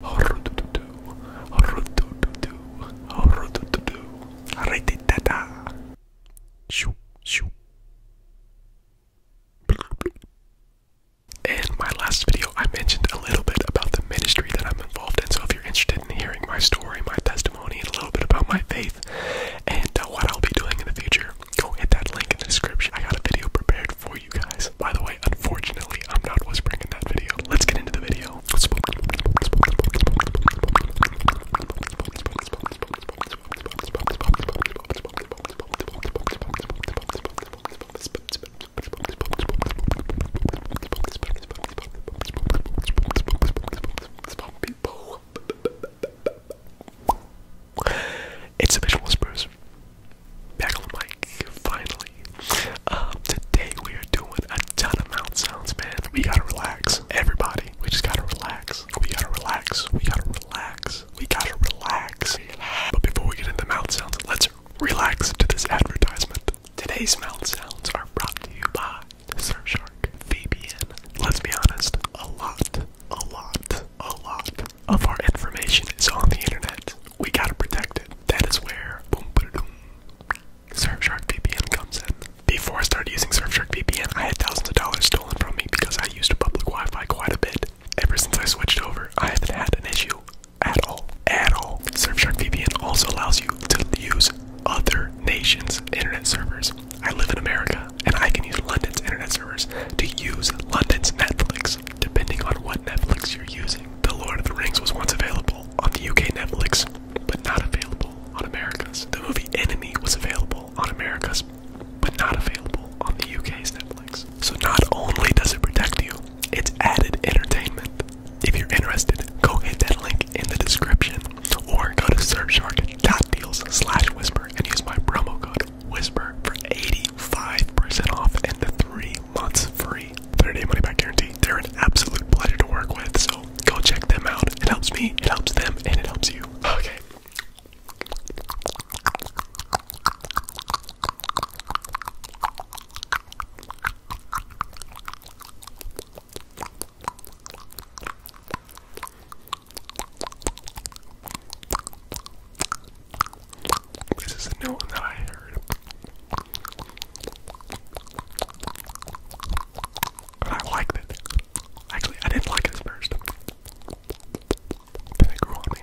In my last video, I mentioned a little bit about the ministry that I'm involved in. So, if you're interested in hearing my story, my testimony, and a little bit about my faith and uh, what I'll be doing in the future, go hit that link in the description. I got a video prepared for you. By the way, unfortunately, I'm not whispering in that video. Let's get into the video. It's a visual spruce back on the mic, finally. Um, today we are doing a ton of mouth sounds, man. We gotta relax. Everybody, we just gotta relax. We gotta relax. We gotta relax. We gotta relax. But before we get into mouth sounds, let's relax to this advertisement. Today's mouth sounds are brought to you by Surfshark, VPN. Let's be honest, a lot, a lot, a lot of our information is on the internet we gotta protect it. That is where Surfshark VPN comes in. Before I started using Surfshark VPN, I had thousands of dollars stolen from me because I used a public Wi-Fi quite a bit. Ever since I switched over, I haven't had an issue at all. At all. Surfshark VPN also allows you to use other nations' internet servers. I live in America, and I can use London's internet servers to use London's Netflix, depending on what Netflix you're using. The Lord of the Rings was once available on the UK Netflix, but not available on America's. The movie Enemy was available on America's, but not available on the UK's Netflix. So not only does it protect you, it's added entertainment. If you're interested, go hit that link in the description or go to surfshark.deals slash whisper and use my promo code whisper for 80 Five percent off and the three months free. 30 day money back guarantee. They're an absolute pleasure to work with, so go check them out. It helps me, it helps them, and it helps you. Okay. This is a new one that I heard. But I liked it. Actually, I didn't like it first. Then it grew on me.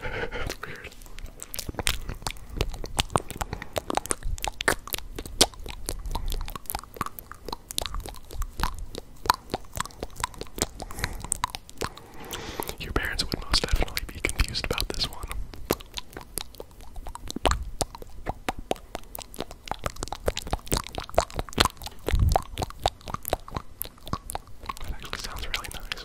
That's weird. Your parents would most definitely be confused about this one. That actually sounds really nice.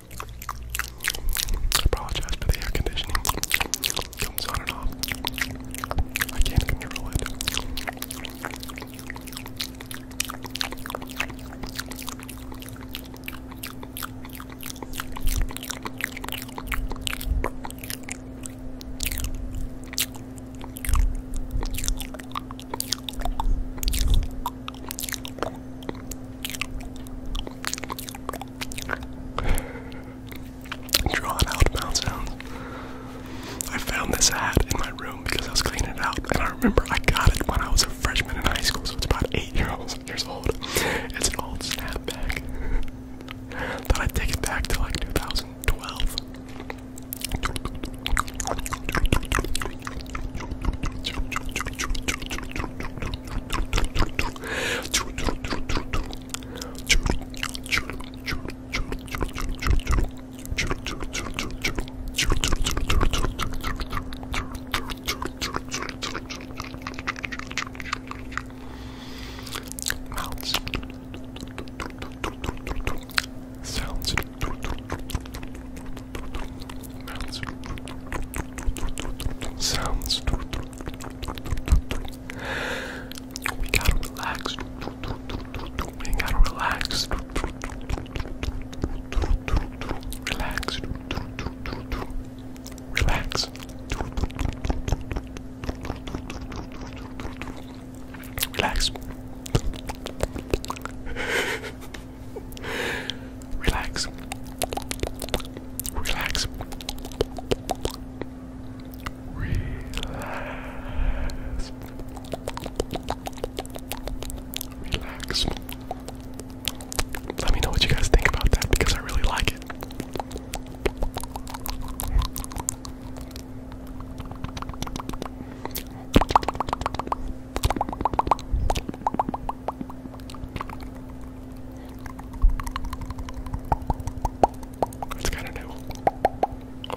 I apologize for the air conditioning. Comes on and off. I can't control it. Drawn out mouth sounds. I found this hat in my room because I was cleaning it out, and I remember I got it when I was a freshman in high school, so it's about eight years old. It's an old snapback. Thought I'd back to like 2012. Mounts. Sounds sounds. We gotta relax. We gotta relax. Relax. Relax. Relax. Relax. Relax. Relax. Relax. Let me know what you guys think about that because I really like it. It's kind of new. I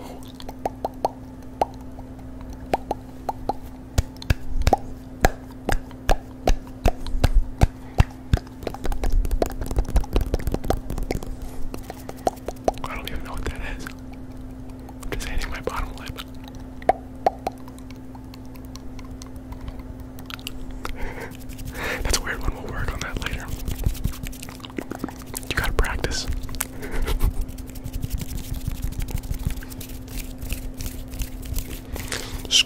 don't even know what that just hitting my bottom lip. That's a weird one. We'll work on that later. You gotta practice.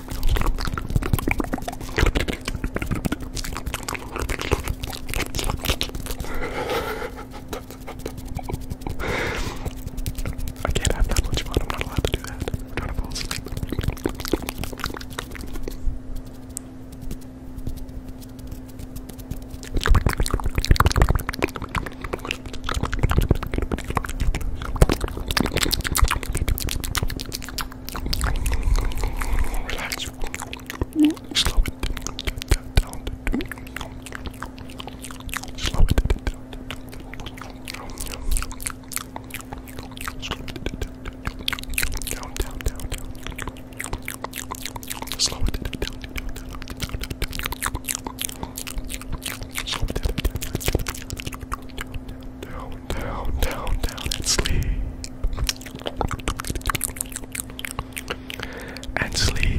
I can't have that much fun. I'm not allowed to do that. I'm trying to fall asleep. Relax. Slow it down. Slow it down. Slow it down. Down, down, down, down. Slow it down. down, down, down, down. Slow it down. down, down, down, down. Down, down, down, down, and sleep. And Sleep.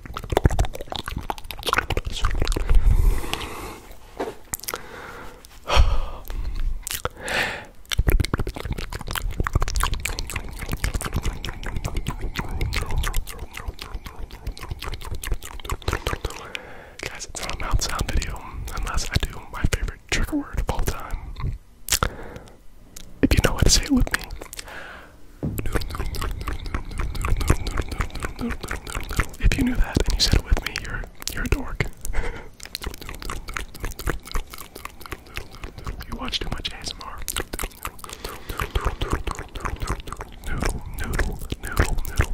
Guys, it's not a mouth sound video unless I do my favorite trigger word of all time. If you know what to say with me, if you knew that and you said it with me, you're you're a dork. You watch too much ASMR. Noodle, noodle, noodle, noodle, noodle, noodle, noodle, noodle, noodle,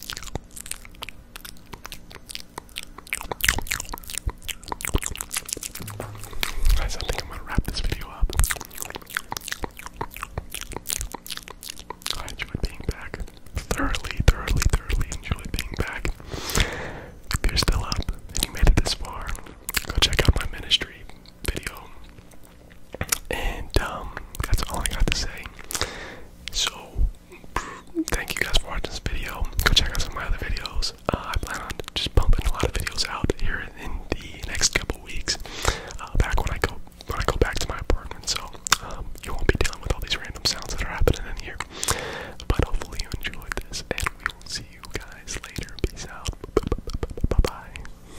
Guys, I think I'm gonna wrap this video up. I enjoyed being back. Thoroughly, thoroughly, thoroughly enjoy being back. If you're still up and you made it this far, go check out my ministry video. And um, that's all I got to say. So, thank you guys for watching this video. Go check out some of my other videos. Uh, I plan on just pumping a lot of videos out here in the next couple weeks. Uh, back when I go when I go back to my apartment, so um, you won't be dealing with all these random sounds that are happening in here. But hopefully you enjoyed this, and we will see you guys later. Peace out. Bye bye.